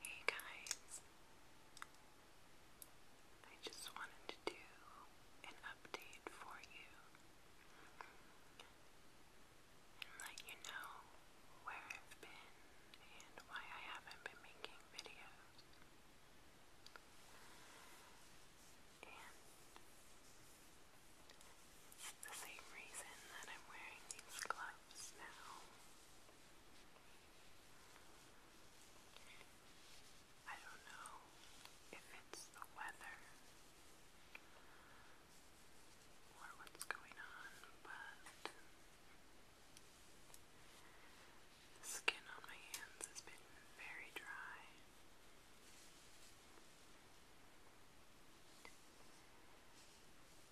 Hey guys, I just wanted to do an update for you and let you know where I've been and why I haven't been making videos. And the same reason that I'm wearing these gloves now. I don't know if it's the weather or what's going on, but the skin on my hands has been very dry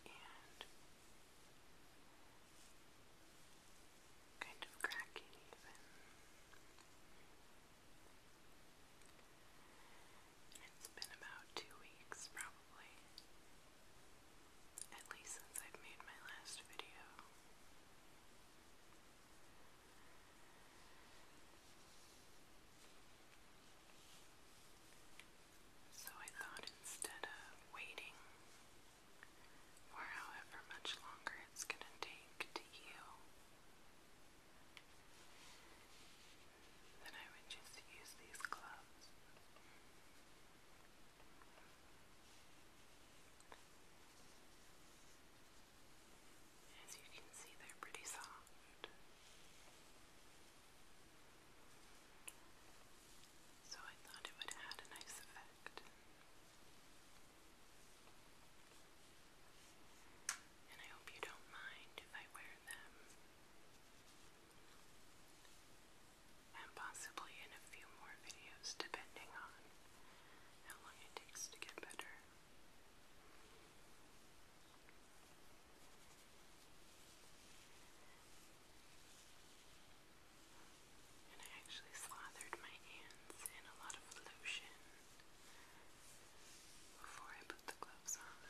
and kind of cracking even. It's been about two weeks probably, at least since I've made my last video. So I thought instead of waiting for however much longer it's going to take to heal, then I would just use these gloves. As you can see, they're pretty soft. So I thought it would add a nice effect. And I hope you don't mind if I wear them. And possibly in a few more videos, depending on how long it takes to get better. And I actually slathered my hands in a lot of lotion before I put the gloves on.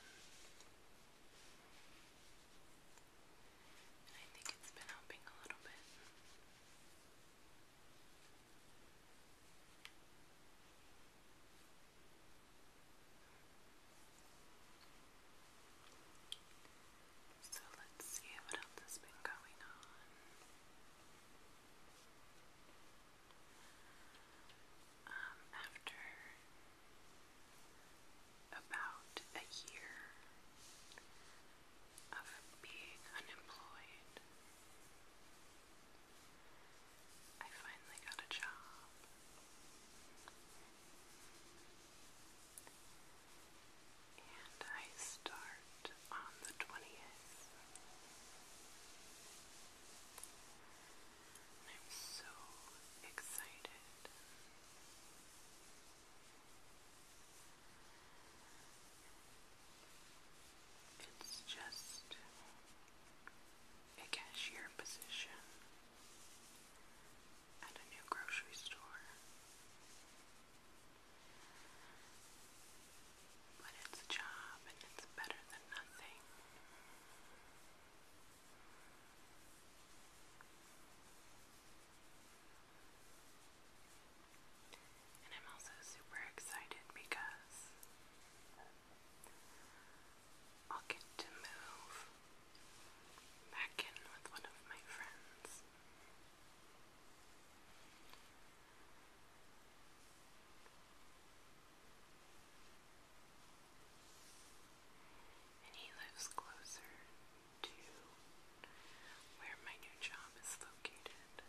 And I think it's been helping a little bit. So let's see what else has been going on. Um, after about a year of being unemployed, I finally got a job. And I start on the 20th. I'm so excited. It's just a cashier position at a new grocery store. But it's a job and it's better than nothing. And I'm also super excited because I'll get to move back in with one of my friends. And he lives closer to where my new job is located.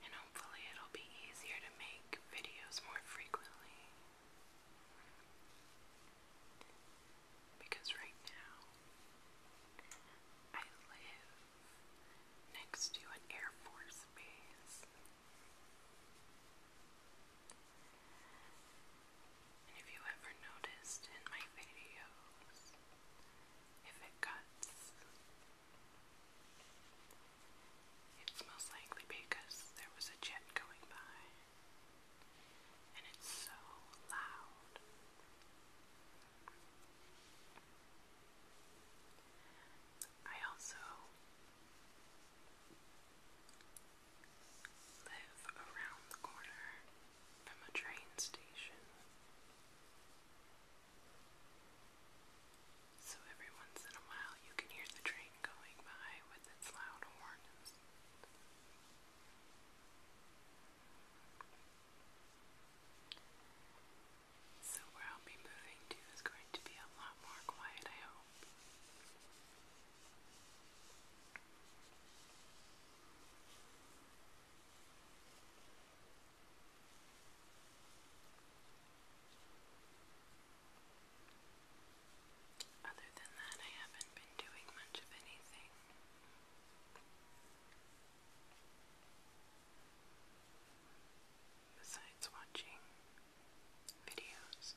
And hopefully, it'll be easier to make videos more frequently. Because right now, I live next to an Air Force base. And if you ever noticed in my videos, if it cuts, it's most likely because there was a jet going by. And it's so loud. I also live around the corner from a train station. So every once in a while you can hear the train going by with its loud horns. So where I'll be moving to is going to be a lot more quiet, I hope. Other than that, I haven't been doing much of anything. Besides watching videos,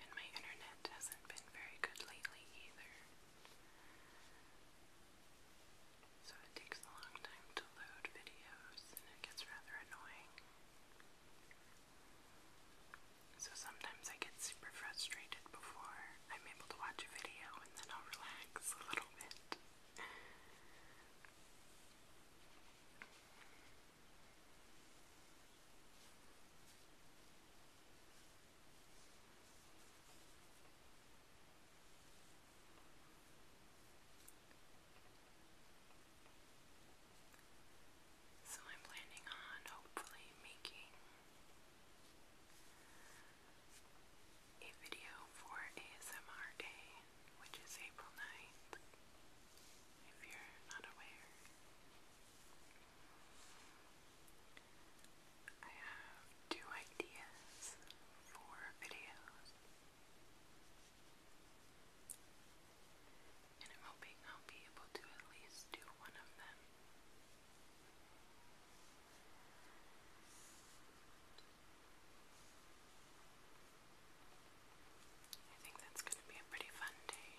and my internet hasn't been very good lately either. So it takes a long time to load videos and it gets rather annoying. So sometimes I get super frustrated before I'm able to watch a video and then I'll relax a little bit. So I'm planning on hopefully making a video for ASMR Day which is April 9th, if you're not aware. I have two ideas for videos, and I'm hoping I'll be able to at least do one of them. I think that's going to be a pretty fun day.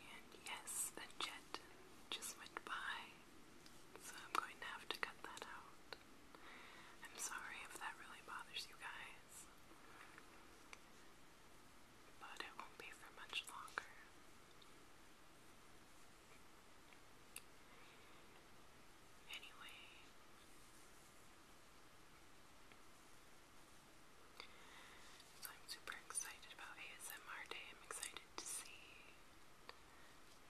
And yes, a jet just went by, so I'm going to have to cut that out. I'm sorry if that really bothers you guys, but it won't be for much longer. Anyway, so I'm super excited about ASMR Day. I'm excited to see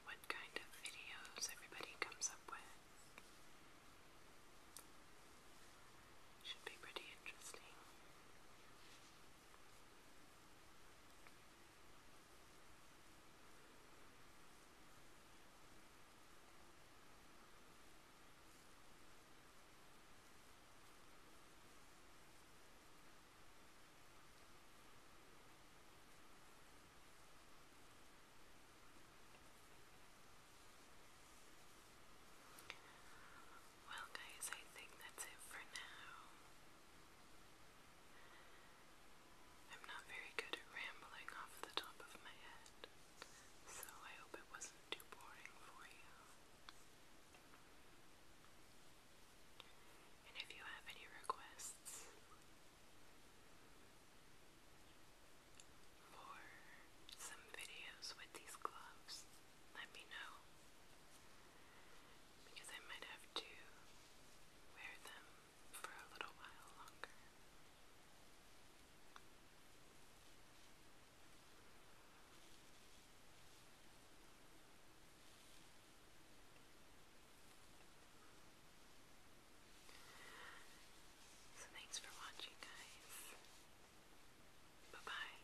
what kind of videos everybody comes up with. Should be pretty interesting. Well, guys, I think that's it for now. I'm not very good at rambling off the top of my head, so I hope it wasn't too boring for you. And if you have any requests for some videos with these gloves, let me know because I might have to wear them for a little while longer. So thanks for watching guys. Bye bye.